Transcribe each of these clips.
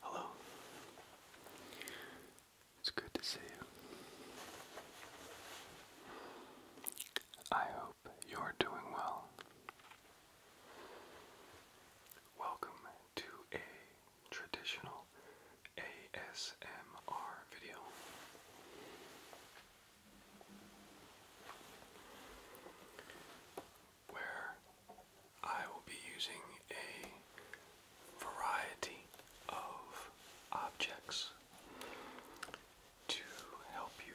Hello. It's good to see you. I hope you're doing well. Welcome to a traditional ASMR video where I will be using a variety of objects to help you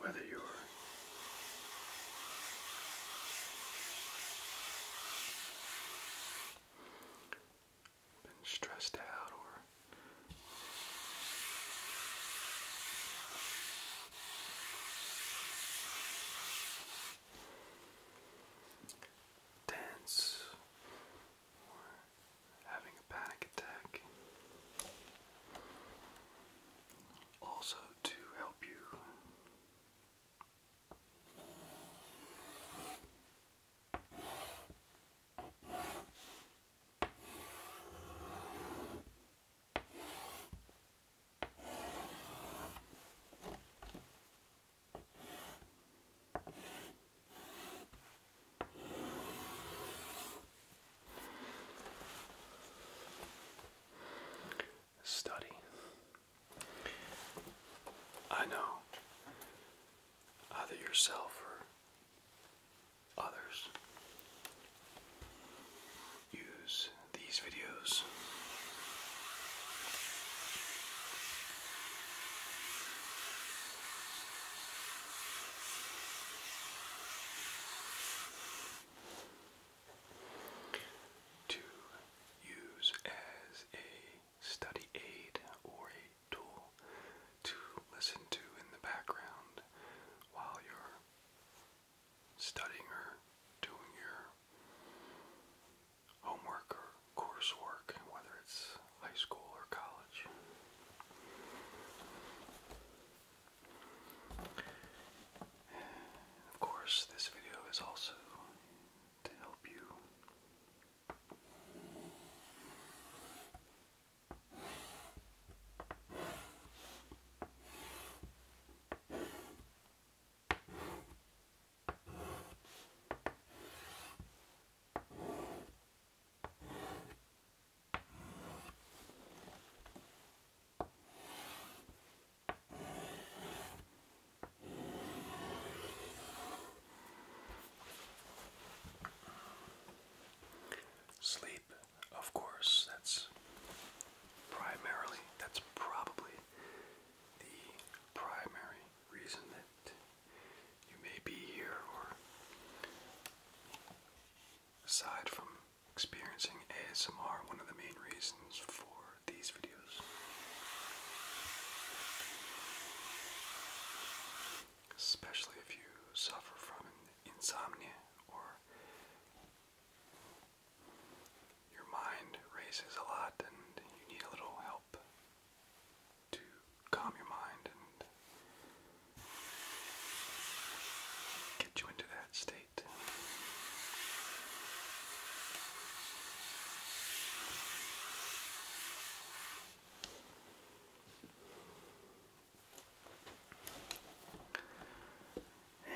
whether you're been stressed out or tense or having a panic attack also to help you Study. I know either yourself or others use these videos to use as a study aid or a tool to listen to in the background while you're studying or doing your homework or coursework, whether it's high school or college. Of course, this video is also to help you Sleep, of course, that's primarily, that's probably the primary reason that you may be here, or aside from experiencing ASMR one of the main reasons for these videos. Especially if you suffer from insomnia or your mind races a lot and you need a little help to calm your mind and get you into that state state.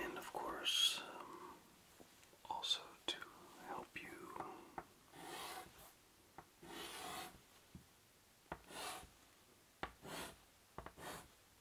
And of course, um, also to help you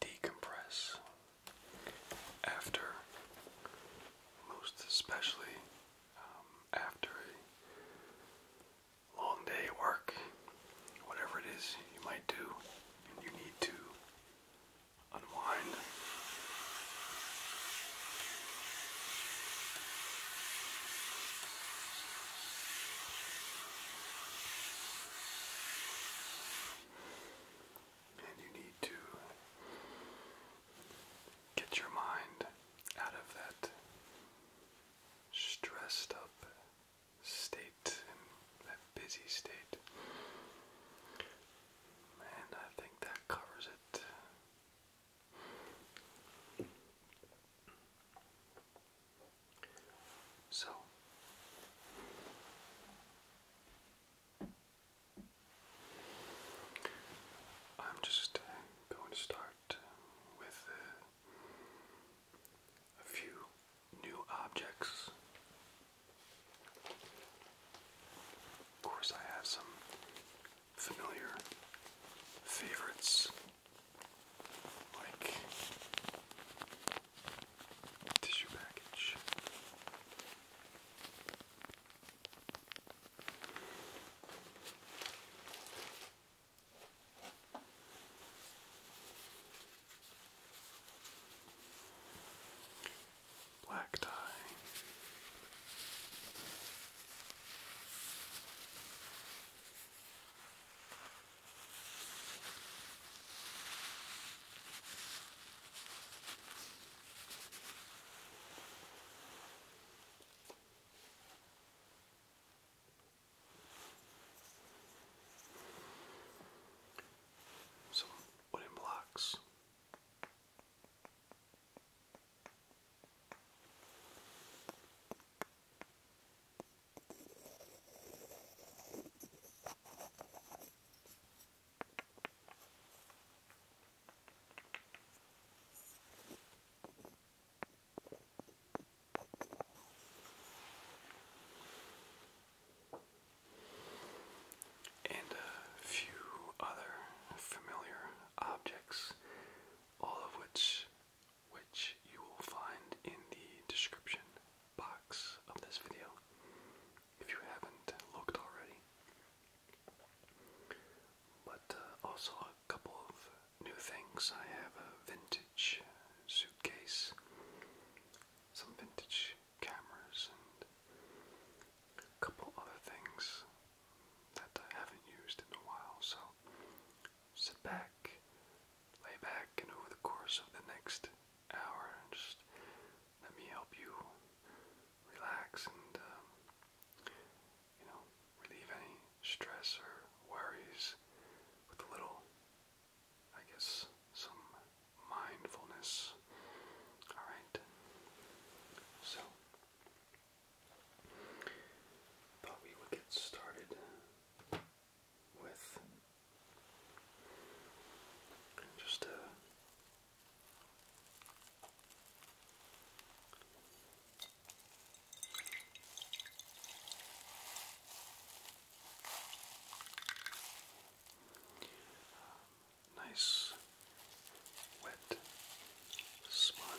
decompress after, most especially um, after a long day at work, whatever it is you might do, and you need to unwind. And you need to get your mind out of that stressed up state and that busy state. And I think that covers it. So I'm just uh, going to start um, with uh, a few new objects. Of course, I have some familiar favorites like tissue package. Black tie. Some wooden blocks. And a few other familiar objects, all of which which you will find in the description box of this video if you haven't looked already. But uh, also a couple of new things. I have a vintage suitcase, some vintage cameras, and a couple other things that I haven't used in a while. So sit back, lay back, and over the course of the next hour. Just let me help you relax and, um, you know, relieve any stress or worries with a little, I guess, some mindfulness. Alright? So, thought we would get started with. just uh, nice wet sponge.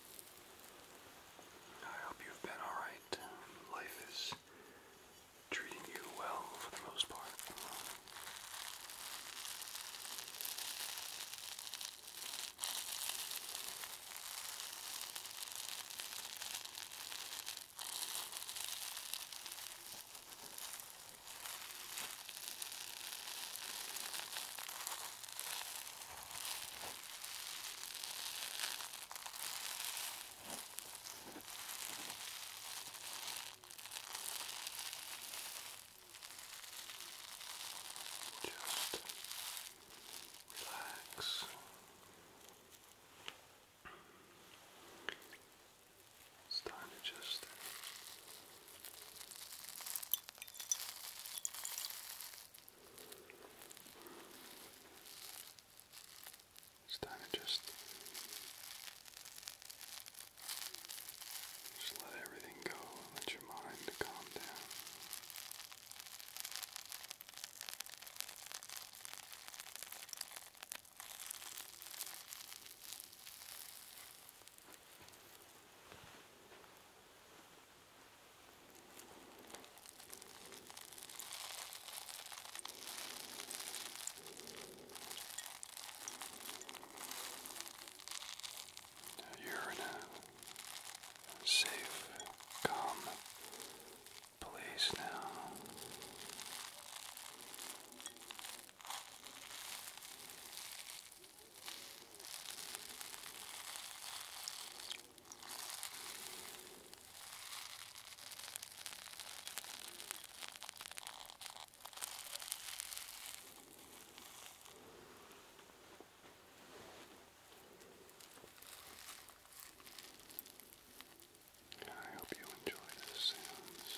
I hope you've been alright. Life is treating you well for the most part. Just relax. It's time to just it's time to just just let everything go and let your mind calm down. You're in a safe, calm place now. I hope you enjoy the sounds.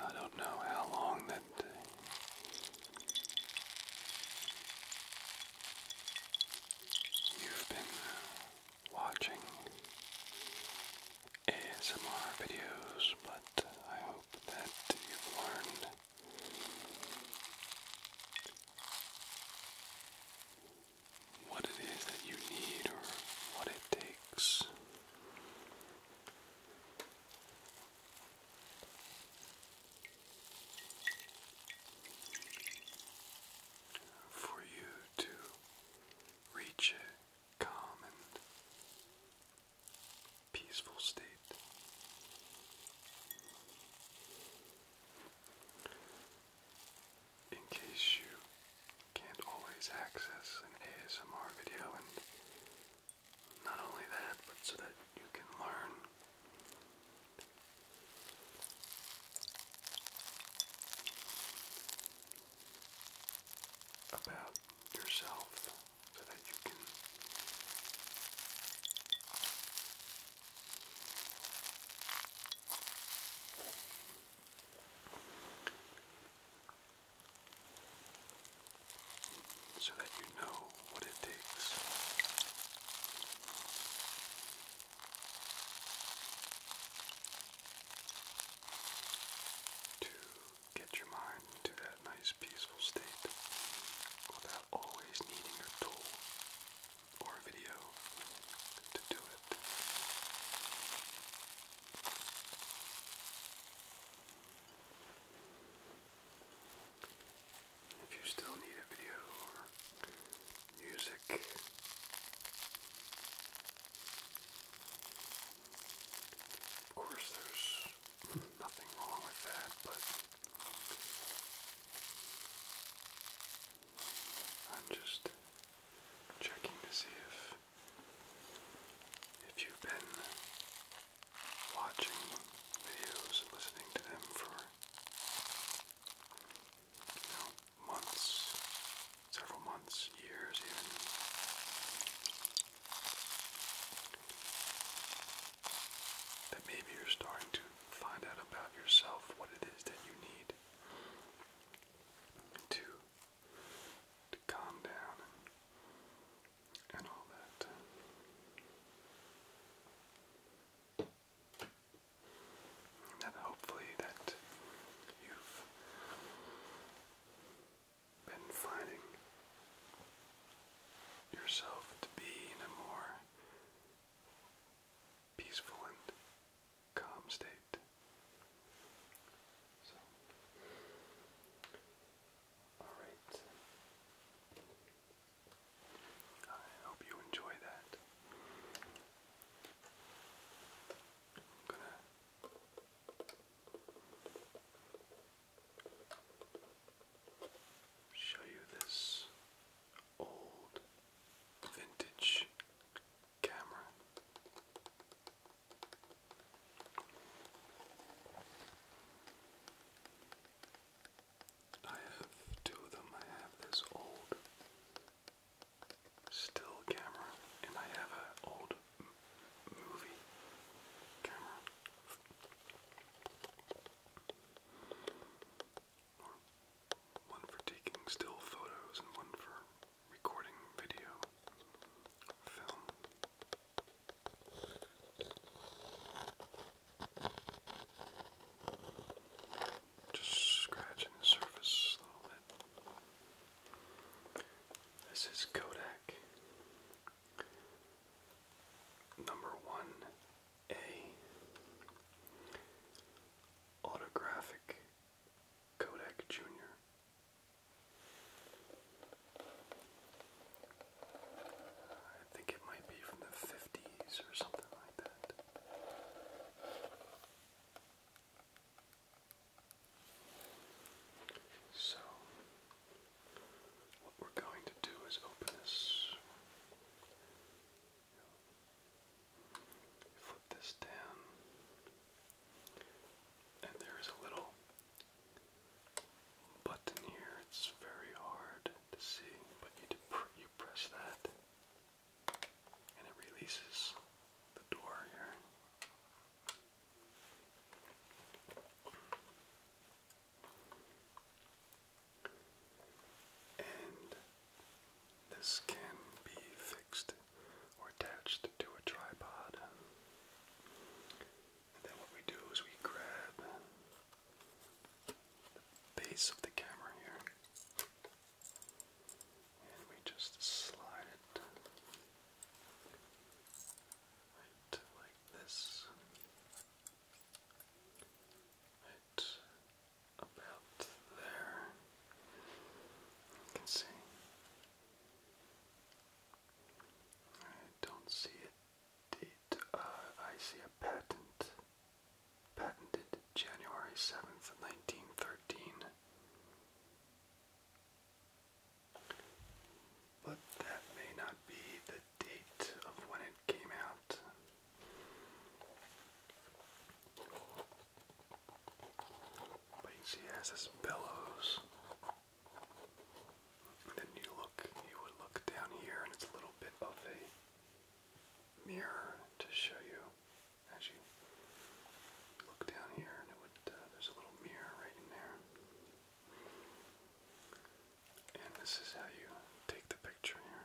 I don't know how long that. you've been uh, watching ASMR videos, but I hope that you've learned what it is that you need or what it takes. For you to reach a calm and peaceful state in case you can't always access an ASMR video, and not only that, but so that you can learn. About yourself so that you can so that you know what it takes. To get your mind to that nice peaceful state without always needing a tool or video to do it. If you still need a video or music, of course, there's nothing wrong with that, but I'm just checking to see if if you've been watching videos and listening to them for you know, months, several months, years even. That maybe you're starting to find out about yourself what it is that you need need to to calm down and all that. And hopefully that you've been finding yourself to be in a more peaceful and calm state. all right. I hope you enjoy that. I'm gonna show you this old vintage camera. I have two of them. I have this old still camera, and I have an old movie camera one for taking still photos and one for recording video, film. Just scratching the surface a little bit. This is Kodak number one a autographic Kodak Jr. I think it might be from the 50s or something like that. So, what we're going to do is open this Flip this down, and there is a little button here. It's very hard to see, but you press that, and it releases the door here and this can be fixed or attached to a tripod. And then what we do is we grab the base of the camera here and we just slide right like this about there. You can see. I don't see it. it uh, I see a patent. Patented January 7th, 1913. But that may not be the date of when it came out. But you see, he has his bellows. then you look, you would look down here, and it's a little bit of a mirror to show you as you look down here, and uh, there's a little mirror right in there, and this is how you take the picture here.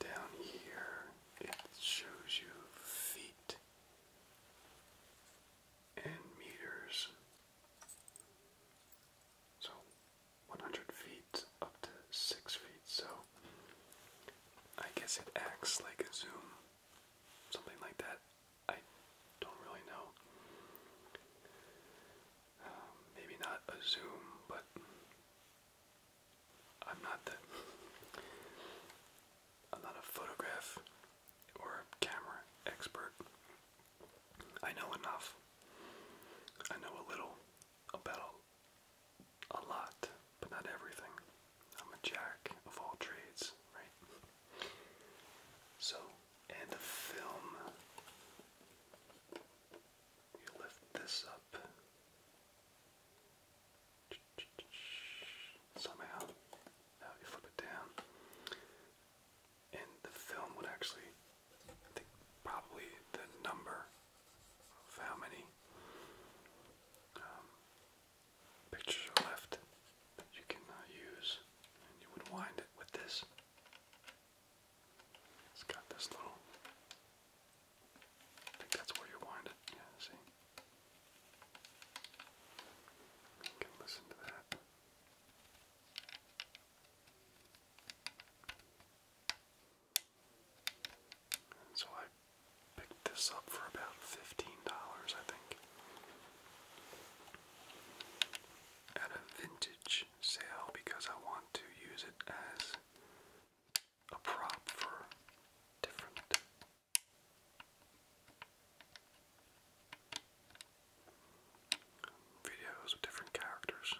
Down here, it shows you feet and meters. So 100 feet up to 6 feet. So I guess it acts like a zoom, something like that. I don't really know. Um, maybe not a zoom, but I'm not the I'm not a photograph or a camera expert. I know enough. I know a little about a lot, but not everything. I'm a jack of all trades, right? So, and the film. You lift this up somehow. you flip it down, and the film would actually, I think, probably the number of how many um, pictures left that you can uh, use, and you would wind it with this. It's got this little I think that's where you wind it. Yeah, see? You can listen to that. so I picked this up for about $15, I think, at a vintage sale because I want to use it as a prop for different videos with different characters.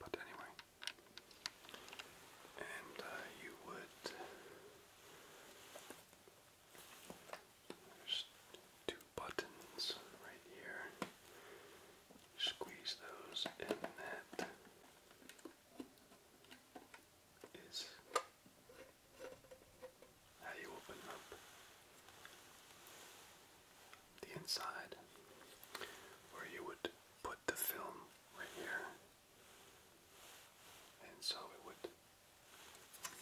But anyway, and uh, you would. There's two buttons right here. Squeeze those in that is how you open up the inside where you would put the film right here. And so it would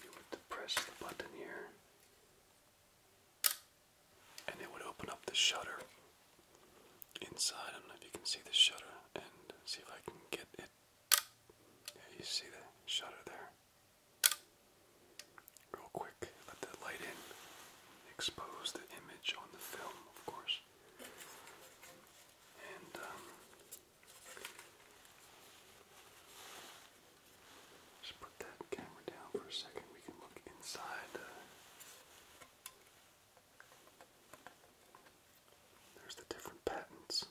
you would press the button here and it would open up the shutter inside. I don't know if you can see the shutter and see if I can get it. Yeah, you see the shutter there. Real quick, let that light in. Expose the image on the film, of course. And, um, just put that camera down for a second. We can look inside there's the different patents.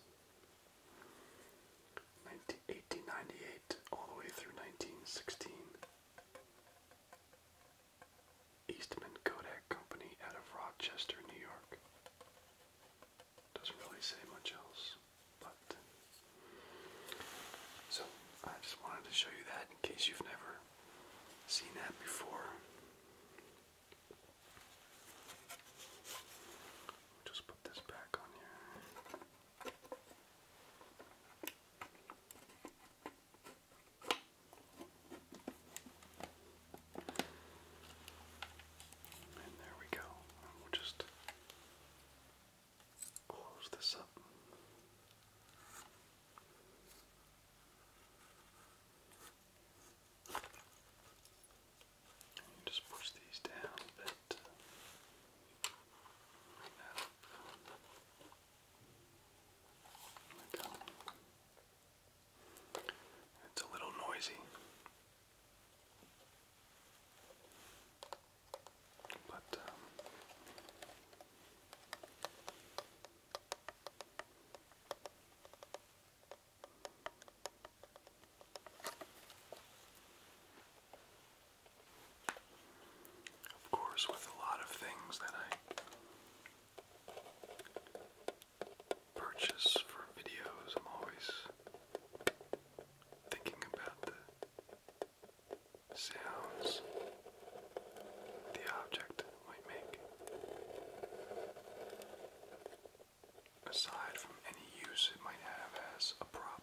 1898 all the way through 1916. Eastman Kodak Company out of Rochester, New York. Doesn't really say much else, but. So, I just wanted to show you that in case you've never seen that before. Just put this back on here. And there we go. we'll just close this up just push these down a bit. It's a little noisy. But um, of course, with a lot of things that I purchase for videos, I'm always thinking about the sounds, the object. Aside from any use it might have as a prop.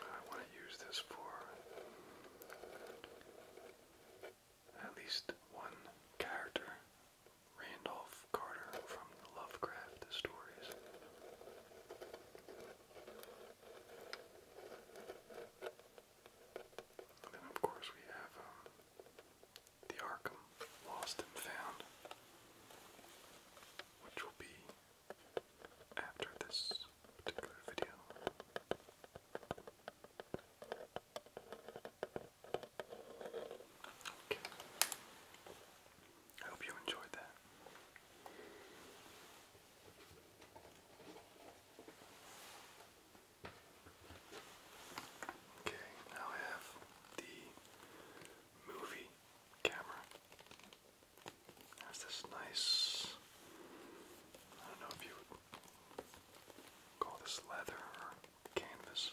I want to use this for at least one character, Randolph Carter from the Lovecraft stories then, of course, we have um, the Arkham Lost and Found, which will be after this particular video. Okay. I hope you enjoyed that. Okay, now I have the movie camera. There's this nice, I don't know if you call this leather or canvas.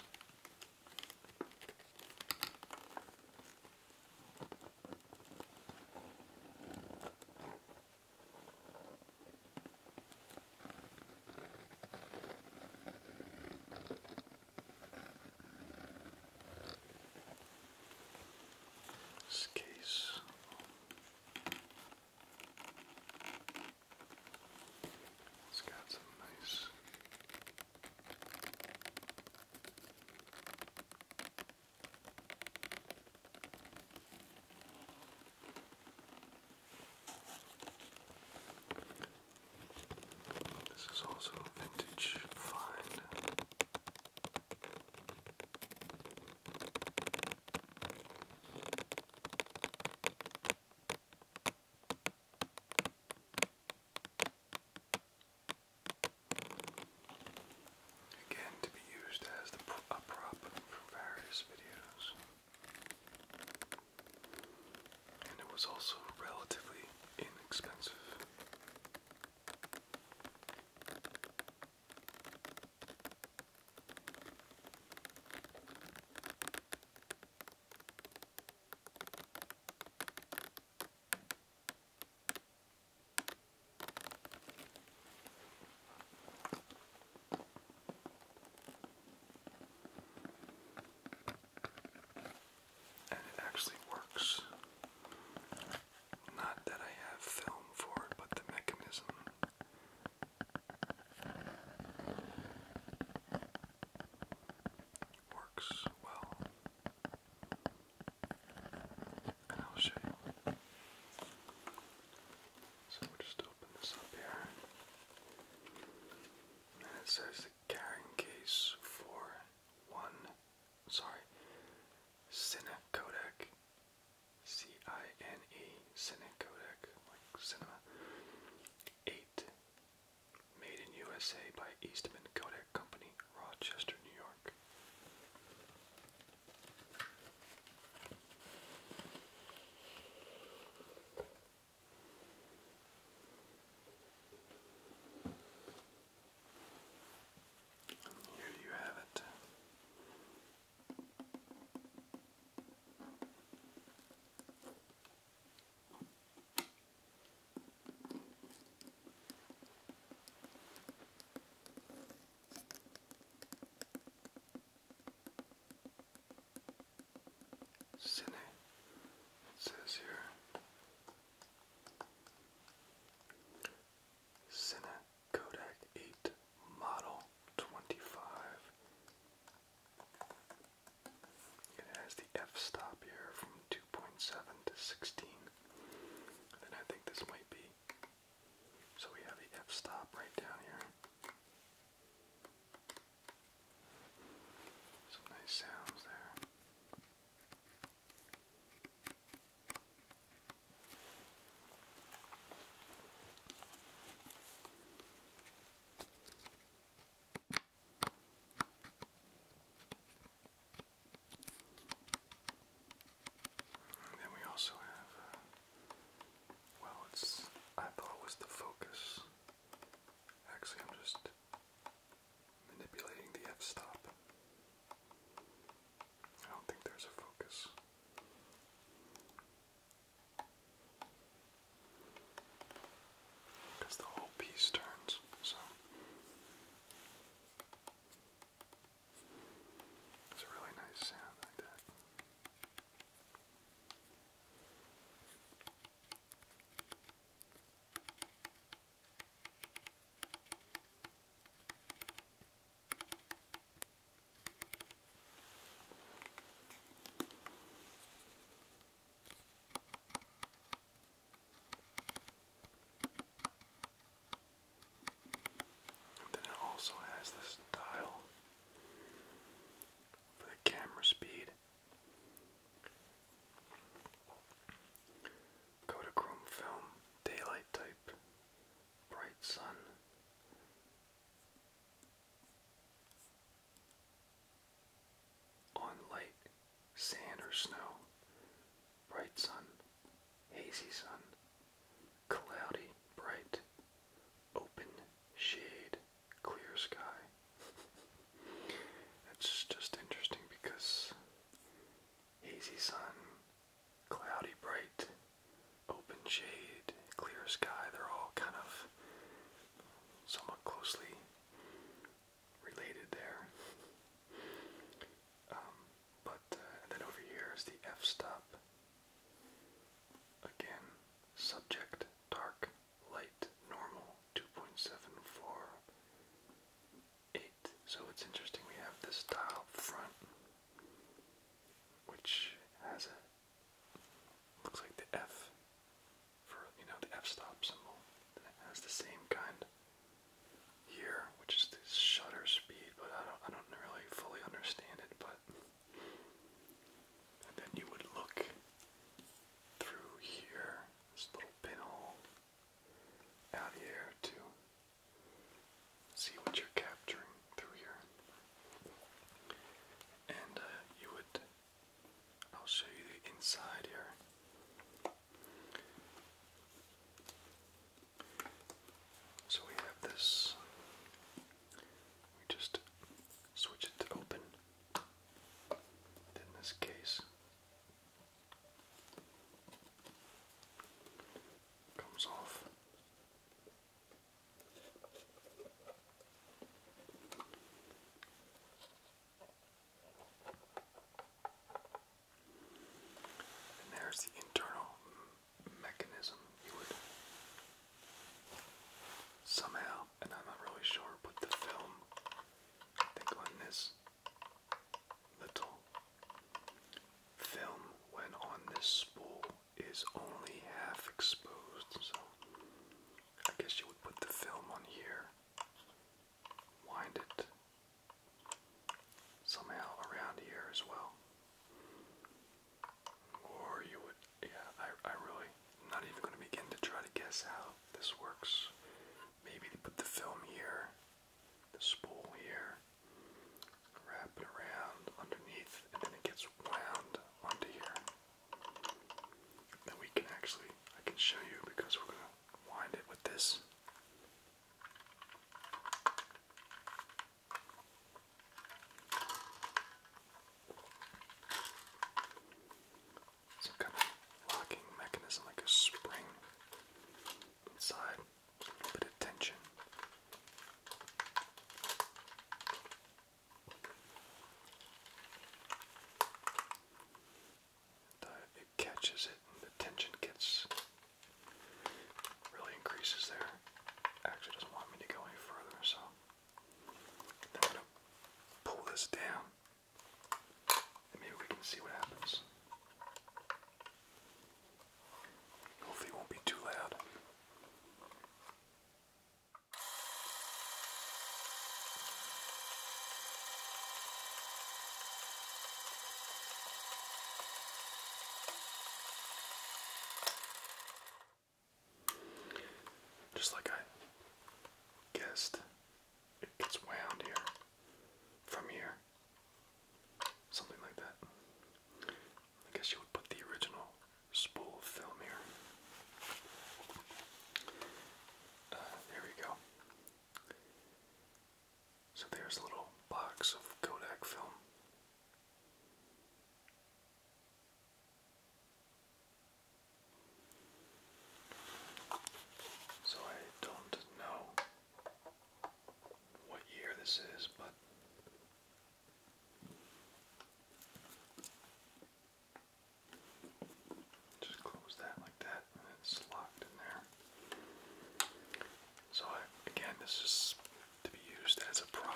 This case it's got some nice this is also a vintage find. Again, to be used as a prop for various videos. And it was also relatively inexpensive. And it actually works. Not that I have film for it, but the mechanism. Works well. And I'll show you. So we'll just open this up here. And it says the carrying case for one, sorry, Cine Codec. C-I-N-E, Cine Codec, like cinema. 8. Made in USA by Eastman Kodak Company Rochester, New York. Here you have it. Cine, it says here. Cine Kodak 8 Model 25. It has the f stop here from 2.7 to 16 then I think this might be. So we have the f stop right down here. Some nice sounds there then we also have, uh, well, it's, I thought it was the focus. Actually, I'm just manipulating the f-stop. I don't think there's a focus. Because the whole piece turns, so. It's a really nice sound like that then it also has this dial for the camera speed. Kodachrome film, daylight type, bright sun. On light sand or snow, bright sun, hazy sun, cloudy, bright, open, shade, clear sky. That's just interesting because hazy sun, cloudy, bright, open shade, clear sky, they're all kind of somewhat closely related there. Um, but uh, and then over here is the f-stop. Again, subject dark, light, normal, 2.748. So it's interesting we have this dial up front, which has a looks like the F for you know the F-stop symbol. That has the same kind here, which is the shutter speed, but I don't I don't really fully understand it, but then you would look through here, this little pinhole out here to see what you're capturing through here. And uh, you would I'll show you the inside here. So we have this. We just switch it to open. In this case, comes off. And there's the internal mechanism. You would somehow, and I'm not really sure, put the film, I think, on this little film when on this spool is only half exposed. So I guess you would put the film on here wind it somehow around here as well. Or you would, yeah, I, I really, not even going to begin to try to guess how this works. Maybe they put the film here, the spool here, wrap it around underneath, and then it gets wound onto here. Then we can actually, I can show you because we're going to wind it with this. Some kind of locking mechanism, like a spring inside, a little bit of tension it catches it and the tension gets really increases there. Actually doesn't want me to go any further, so I'm gonna pull this down maybe we can see what happens. Hopefully won't be too loud. Just like I guessed, it gets wound here, from here, something like that. I guess you would put the original spool of film here. Uh, there we go. So there's a little box of Kodak film. So I don't know what year this is, but just close that like that and it's locked in there. So I, again, this is to be used as a prop.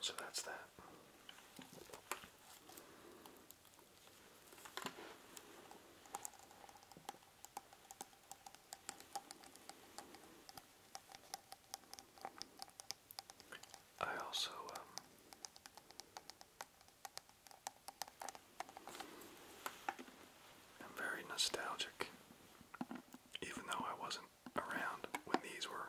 So that's that. I also um, I'm very nostalgic, even though I wasn't around when these were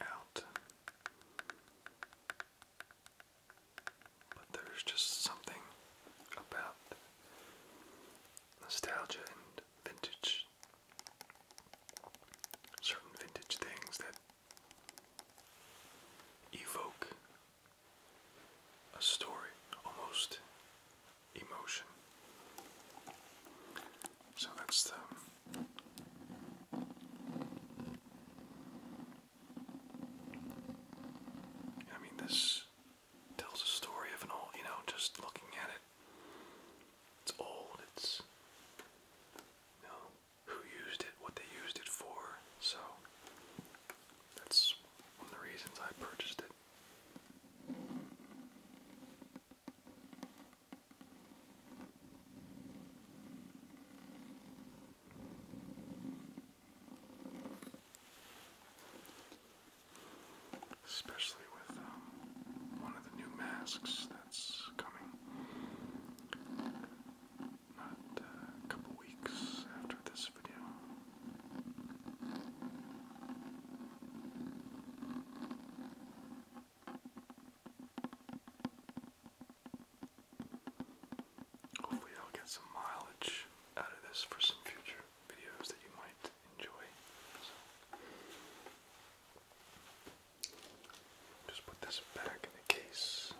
out. But there's just something about nostalgia and vintage certain vintage things that evoke a story, almost emotion. So that's the I mean, this tells a story of an old, you know, just looking at it. It's old. It's you know who used it, what they used it for. So that's one of the reasons I purchased it. Especially with um, one of the new masks that's coming. Not uh, a couple weeks after this video. Hopefully, I'll get some mileage out of this for some future videos that you might enjoy. Just put this back in the case.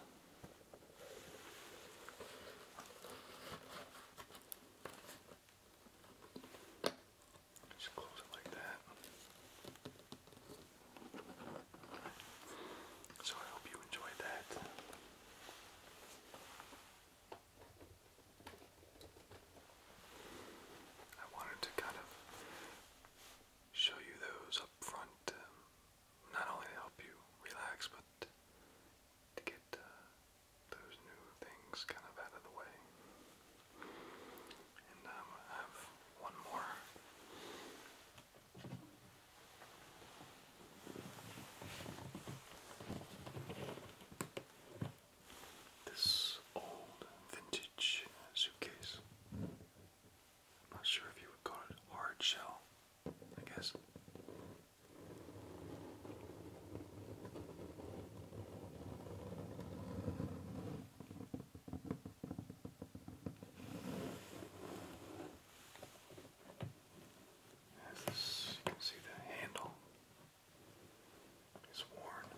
Just close it like that. So I hope you enjoyed that. I wanted to kind of show you those up front. Um, not only to help you relax, but to get uh, those new things kind of out of the way. And um, I have one more. This old vintage suitcase. I'm not sure if you would call it hard shell, I guess. As this, you can see the handle is worn.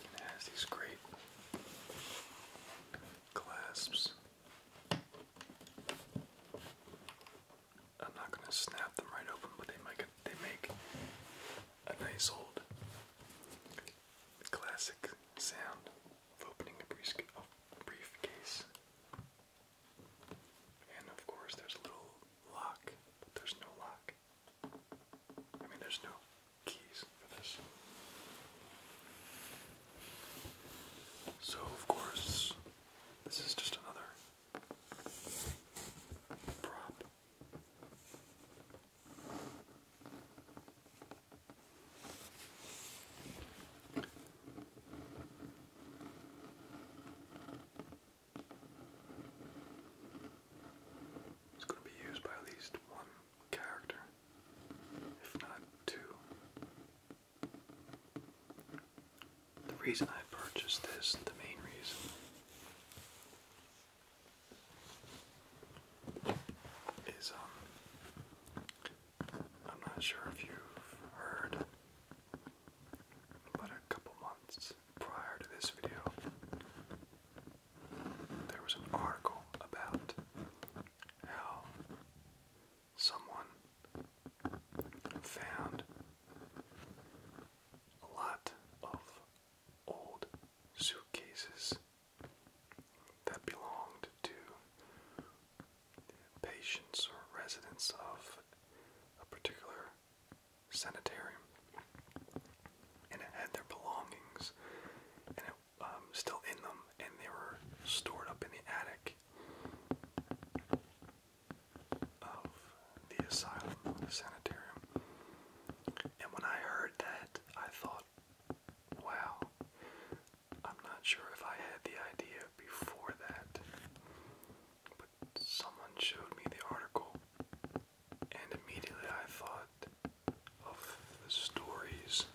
It has these great clasps. I'm not gonna snap them right open, but they make a nice old classic sound of opening a briefcase. And of course, there's a little lock, but there's no lock. I mean, there's no keys for this. So, of course, this is just another prop. It's going to be used by at least one character, if not two. The reason I purchased this, the main reason, is um, I'm not sure if you've heard, but a couple months prior to this video, there was an article about how someone found a lot of old suitcases that belonged to patients or residents of a particular sanitarium, and it had their belongings, and it um, still in them, and they were stored up in the attic of the asylum, the sanitarium. And when I heard that, I thought, wow, I'm not sure if I had the idea before that, but someone showed me the article and immediately I thought of the stories.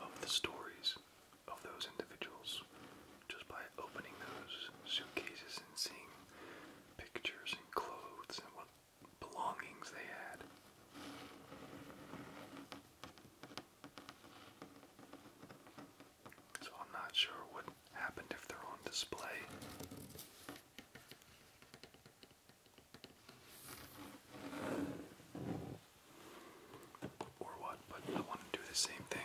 Of the stories of those individuals just by opening those suitcases and seeing pictures and clothes and what belongings they had. So I'm not sure what happened if they're on display. Or what, but I want to do the same thing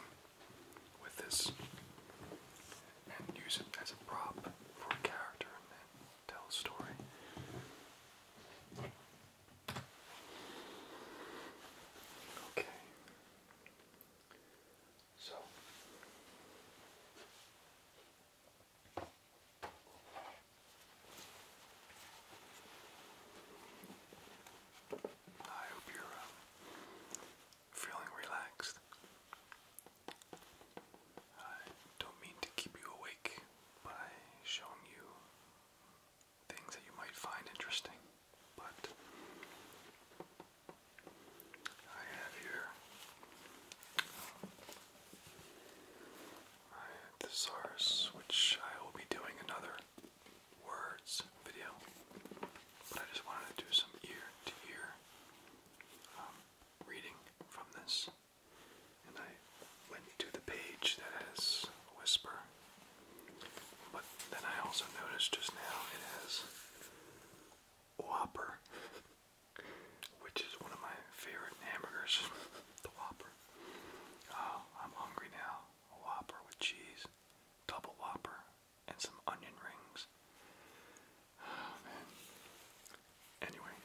with this and use it as a prop for a character and tell a story. Okay. So I hope you're um, feeling relaxed. I don't mean to keep you awake by showing you things that you might find interesting, but I have here. Um, I thesaurus, which I will be doing another words video, I just wanted to do some ear to ear reading from this, and I went to the page that has Whisper, but then I also noticed just now it has Whopper, which is one of my favorite hamburgers, the Whopper. Oh, I'm hungry now. Whopper with cheese, double Whopper, and some onion rings. Oh, anyway,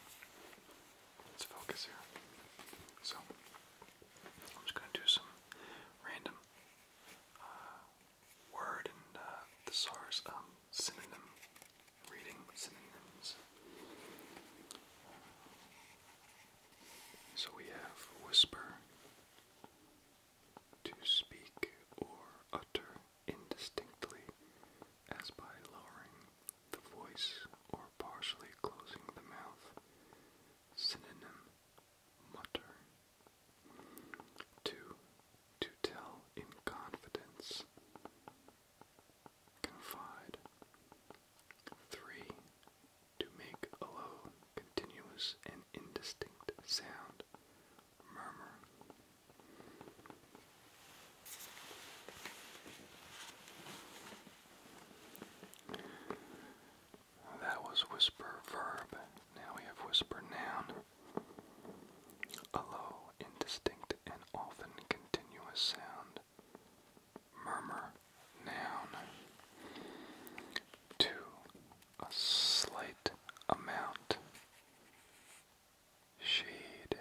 let's focus here. So, I'm just going to do some random uh, word and uh, thesaurus um, synonym reading synonyms. So we have whisper, to speak or utter, indistinctly as by lowering the voice or partially closing the mouth. Synonym mutter. 2. To tell in confidence. Confide. 3. To make a low, continuous, and indistinct sound murmur. That was whisper verb. Now we have whisper noun. A low, indistinct, and often continuous sound. Murmur noun. Two, a slight amount shade.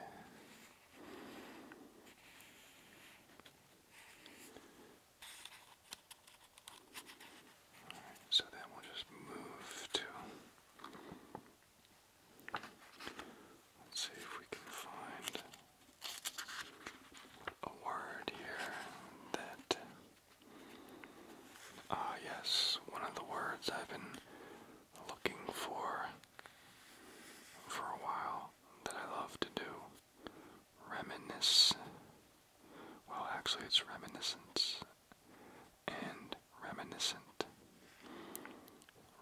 so then we'll just move to. Let's see if we can find a word here that. Ah, yes, one of the words I've been looking for for a while that I love to do. Reminisce. Well, actually, it's reminiscence and reminiscent.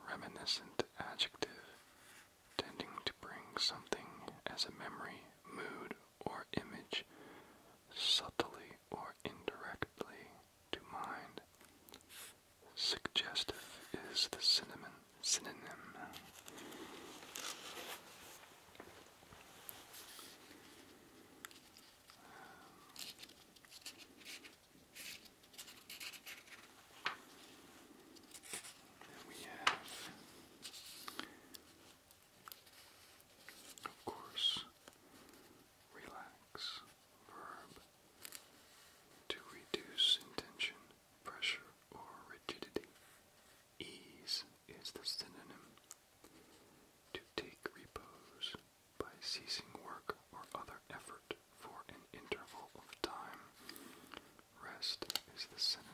Reminiscent adjective tending to bring something as a memory, mood, or image subtly or indirectly to mind. Suggestive is the cinnamon synonym. we have, of course, relax, verb, to reduce intention, pressure, or rigidity. Ease is the synonym. To take repose by ceasing work or other effort for an interval of time. Rest is the synonym.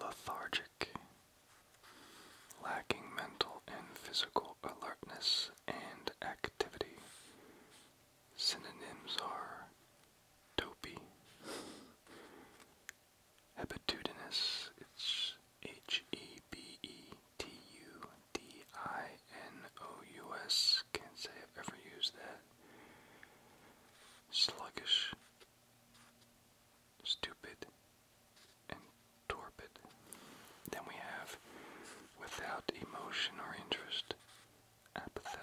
Lethargic, lacking mental and physical alertness and activity. Synonyms are dopey, habitudinous, it's H E B E T U D I N O U S. Can't say I've ever used that. Sluggish, stupid, and torpid. Then we have without emotion or interest, apathetic.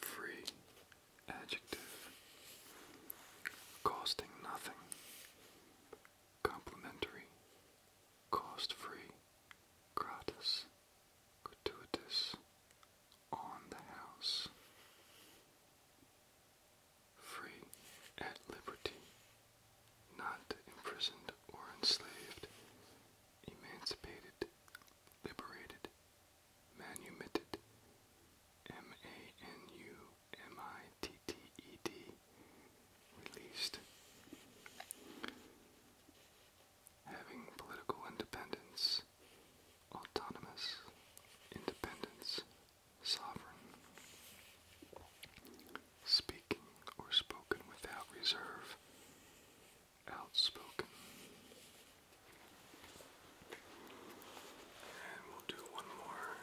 free adjective, costing nothing, complimentary, cost free, gratis, gratuitous, on the house, free at liberty, not imprisoned or enslaved, emancipated, liberated, Manumitted, M-A-N-U-M-I-T-T-E-D, released. Having political independence, autonomous, independence, sovereign. Speaking or spoken without reserve, outspoken. And we'll do one more.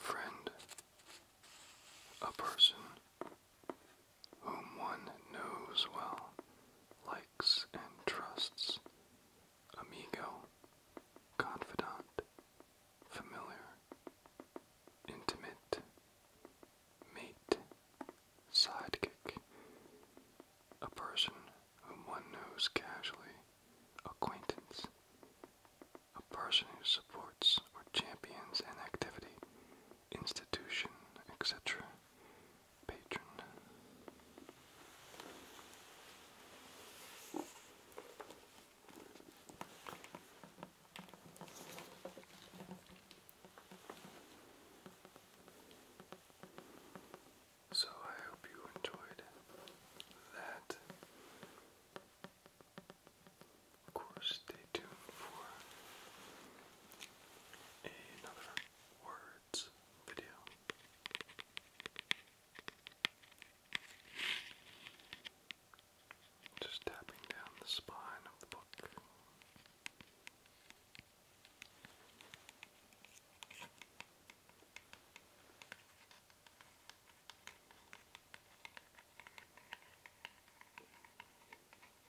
Friend, a person whom one knows well, likes and trusts, amigo, confidant, familiar, intimate, mate, sidekick, a person whom one knows casually, acquaintance, a person who supports or champions an activity institution, etc. Patron. So I hope you enjoyed that of course, stay tuned for another words video. Just tapping down the spine of the book.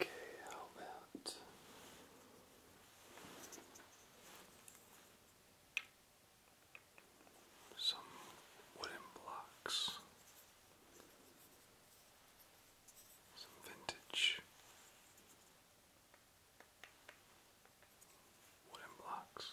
Okay, how about some wooden blocks, some vintage wooden blocks.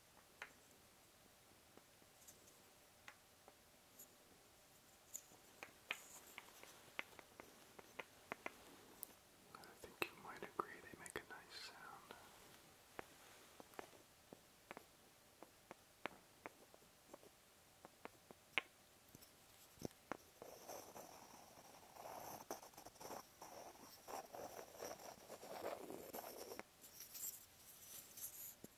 I think you might agree they make a nice sound.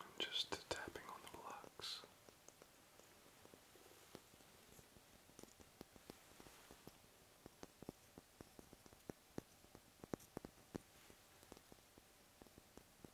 I'm just tapping on the blocks.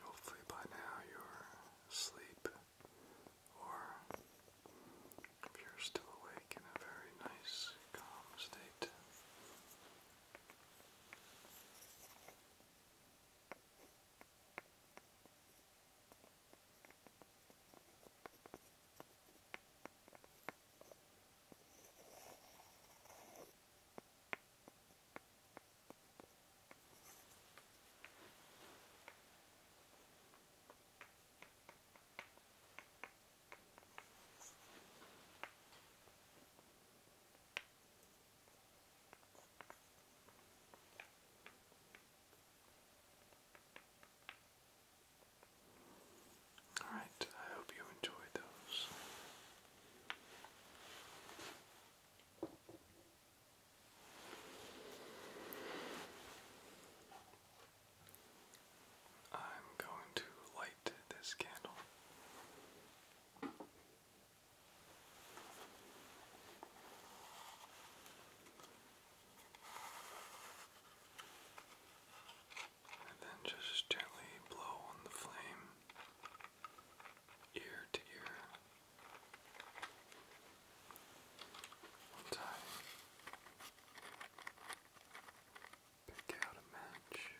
Hopefully, by now you're asleep or if you're still awake in a very nice, calm state. All right, I hope you enjoyed those. I'm going to light this candle. And then just gently blow on the flame, ear to ear. One Pick out a match.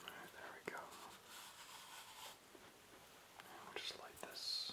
Alright, there we go. And we'll just light this.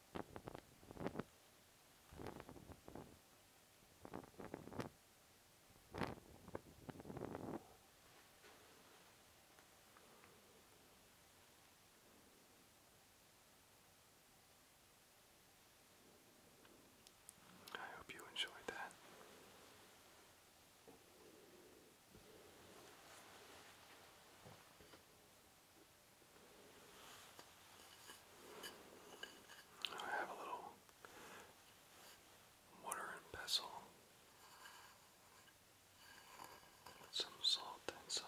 I hope you enjoyed that. I have a little water and pestle with some salt inside.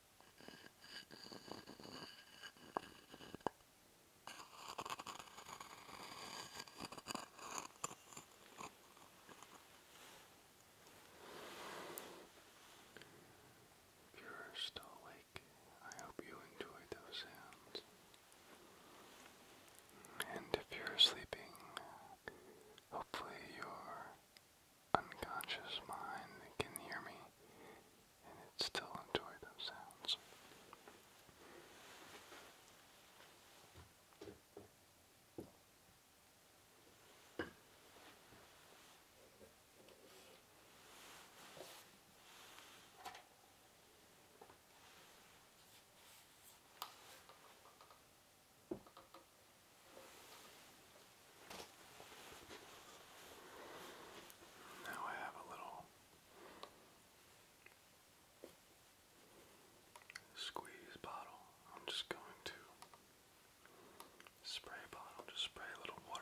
If you're still awake, I hope you enjoyed those sounds. And if you're sleeping, hopefully you're unconscious mind that can hear me and it still enjoy those sounds. Now I have a little squeeze bottle. I'm just going to spray bottle, just spray a little water.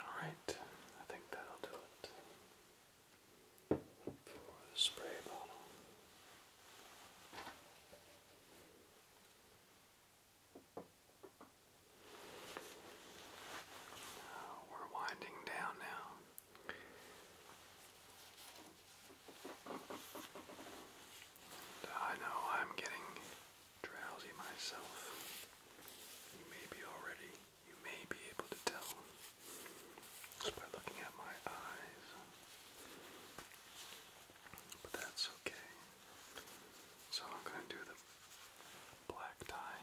All right, I think that'll do it for the spray bottle. we're winding down now. I know I'm getting drowsy myself. You may be already, you may be able to tell just by looking at my eyes. But that's okay. So I'm going to do the black tie.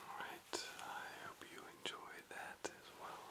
Alright, I hope you enjoyed that as well.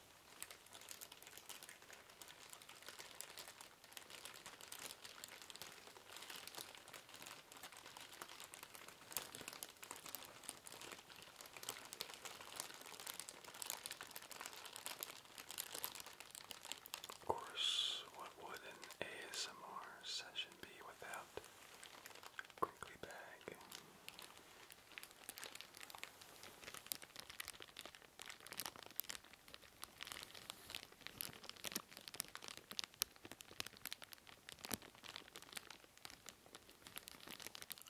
Of course, what would an ASMR session be without crinkly bag?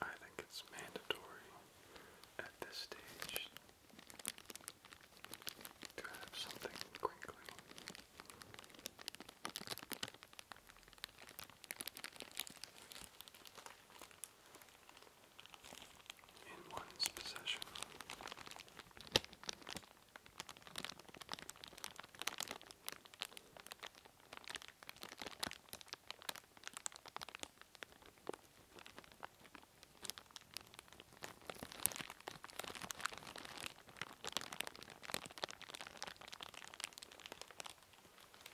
I think it's mandatory at this stage to have something crinkly in one's possession.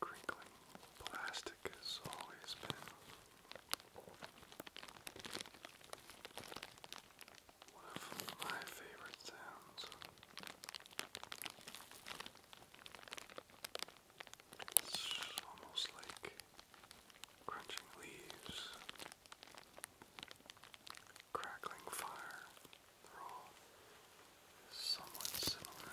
Crinkling plastic has always been one of my favorite sounds. It's almost like crunching leaves. Crackling Fire. They're all somewhat similar.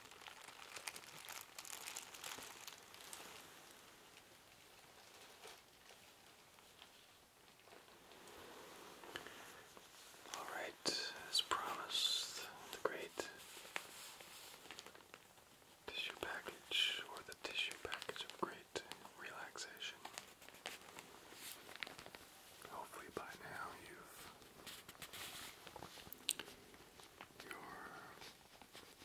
All right, as promised, the great tissue package, or the tissue package of great relaxation. Hopefully, by now you've your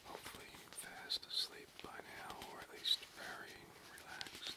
Hopefully fast asleep by now, or at least very relaxed.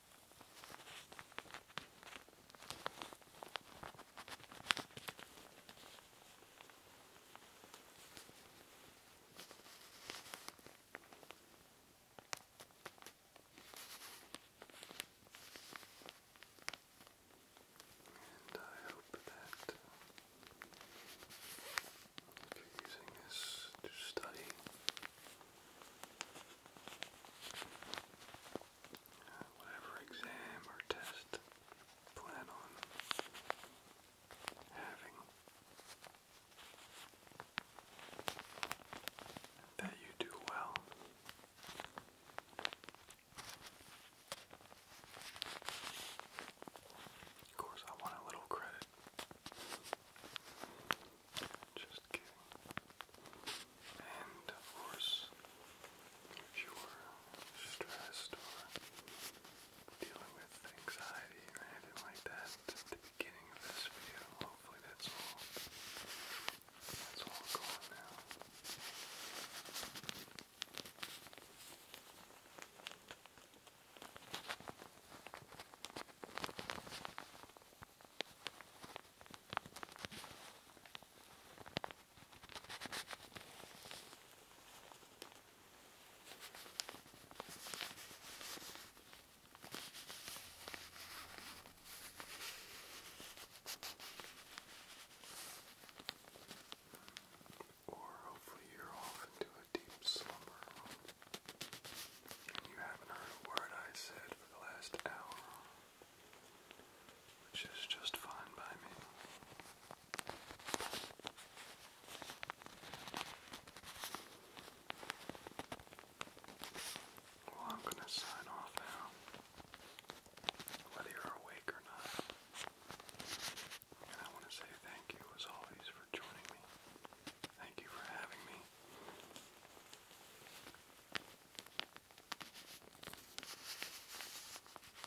And I hope that you're using this to study, uh, whatever exam or test plan on having, that you do well. Of course, I want a little credit. Just kidding. And of course, if you are stressed or dealing with anxiety or like that the beginning of this video, hopefully that's all that's all gone now. Or hopefully you're off into a deep slumber and you haven't heard a word I said for the last hour which is just fine by me. Well, I'm going to sign off now, whether you're awake or not. And I want to say thank you, as always, for joining me. Thank you for having me.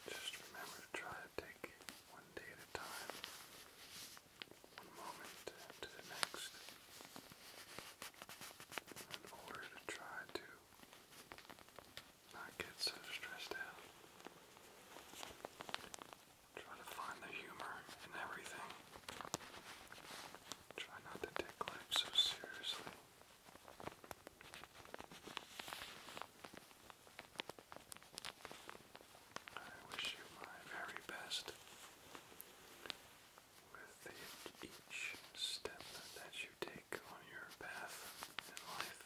Just remember to try to take one day at a time, one moment to the next, in order to try to not get so stressed out. Try to find the humor in everything. Try not to take life so seriously. I wish you my very best with each step that you take on your path in life.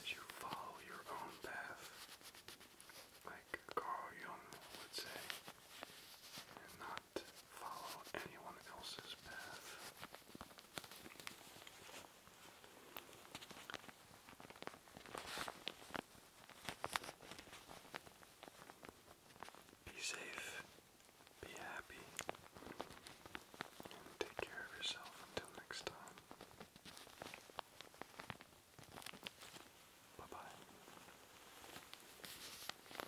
As you follow your own path, like Carl Jung would say, follow anyone else's path. Be safe, be happy, take care of yourself until next time. Bye bye.